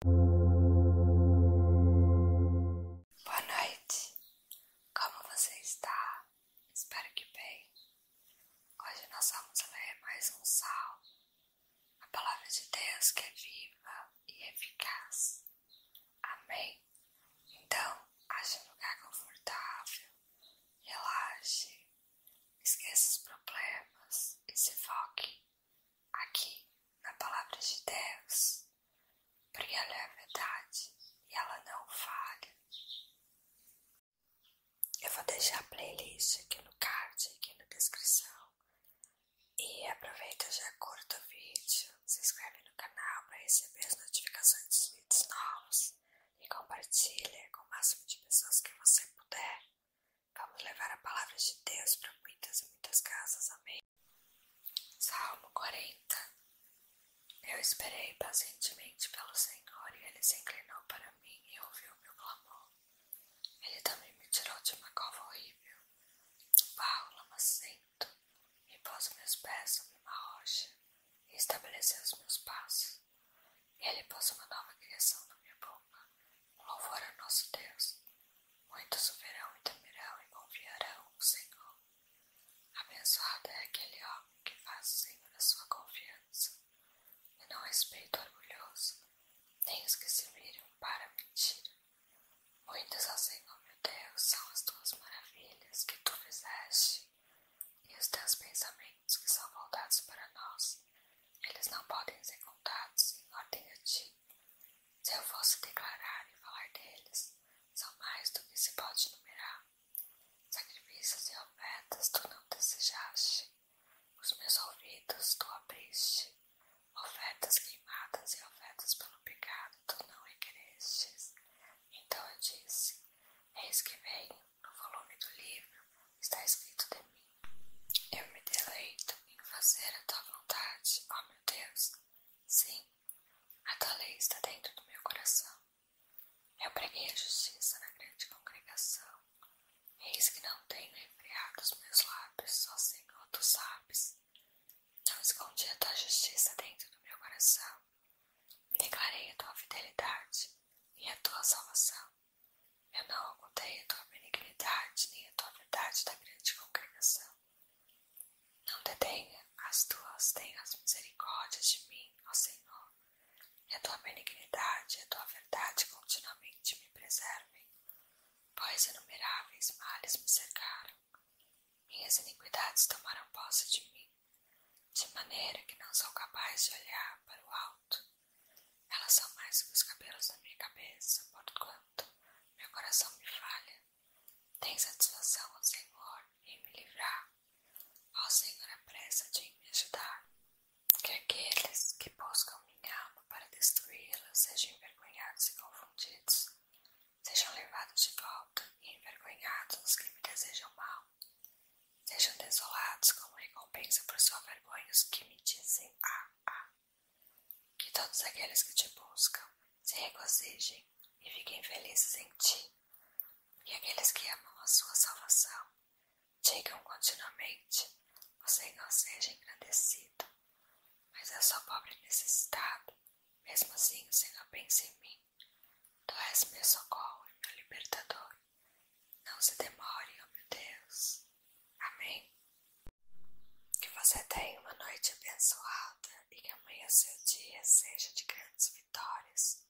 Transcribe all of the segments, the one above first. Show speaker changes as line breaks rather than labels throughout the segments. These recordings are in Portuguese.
Boa noite, como você está? Espero que bem. Hoje nós vamos ler mais um salmo, a palavra de Deus que é viva e eficaz. Amém? Então, ache um lugar confortável, relaxe, esqueça os problemas e se foque aqui na palavra de Deus, porque ela é a verdade e ela não falha. Eu vou deixar a playlist aqui no card, aqui na descrição. E aproveita já curta o vídeo, se inscreve no canal para receber as notificações dos vídeos novos e compartilha com o máximo de pessoas que você puder. Vamos levar a palavra de Deus para muitas e muitas casas. Amém. Salmo 40. Eu esperei pacientemente pelo Senhor e ele se inclinou para mim e ouviu meu clamor. Ele também me tirou de uma cova horrível, do barro lamacento, e pôs meus pés sobre uma rocha e estabeleceu os meus passos. Ele pôs uma nova criação na minha boca Louvor a nosso Deus, muitos o verão e temerão e confiarão no Senhor. Abençoado é aquele homem que faz o Senhor a sua confiança, e não respeita o orgulhoso, nem os que se viram para mentir. Muitas, ó Senhor meu Deus, são as tuas maravilhas que tu fizeste, e os teus pensamentos que são voltados para nós. Eles não podem ser contados em ordem a ti. Se eu fosse declarar e falar deles, são mais do que se pode numerar. Sacrifícios e ofertas tu não desejaste, os meus ouvidos tu abriste. Ofertas queimadas e ofertas pelo pecado tu não requerestes. Então eu disse: Eis que venho, no volume do livro está escrito de mim eu me deleito em fazer a tua vontade, ó meu Deus. Sim, a tua lei está dentro do meu coração. Eu preguei a justiça na grande congregação. Eis que não tenho refreado os meus lábios, só oh, Senhor, tu sabes. Não escondi a tua justiça dentro do meu coração. Declarei a tua fidelidade e a tua salvação. Eu não ocultei a tua benignidade nem a tua verdade da grande congregação. Não detenha as tuas tenhas misericórdias de mim, ó Senhor, e a tua benignidade e a tua verdade continuamente me preservem, pois inumeráveis males me cercaram. Minhas iniquidades tomaram posse de mim, de maneira que não sou capaz de olhar para o alto elas são mais que os cabelos da minha cabeça, por quanto meu coração me falha. Tem satisfação, ó Senhor, em me livrar. Ó Senhor, apressa-te em me ajudar. Que aqueles que buscam minha alma para destruí-la sejam envergonhados e confundidos. Sejam levados de volta e envergonhados os que me desejam mal. Sejam desolados como recompensa por sua vergonha os que me dizem. Assim, ah, ah, que todos aqueles que te buscam se regozijem e fiquem felizes em ti, e aqueles que amam a sua salvação digam continuamente: o Senhor seja engrandecido. Mas eu sou pobre e necessitado, mesmo assim o Senhor pensa em mim. Tu és meu socorro e meu libertador. Não se demore, oh meu Deus. Amém. Que você tenha uma noite abençoada e que amanhã seu dia seja de grandes vitórias.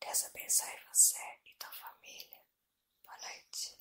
Deus abençoe você e tua família. Boa noite.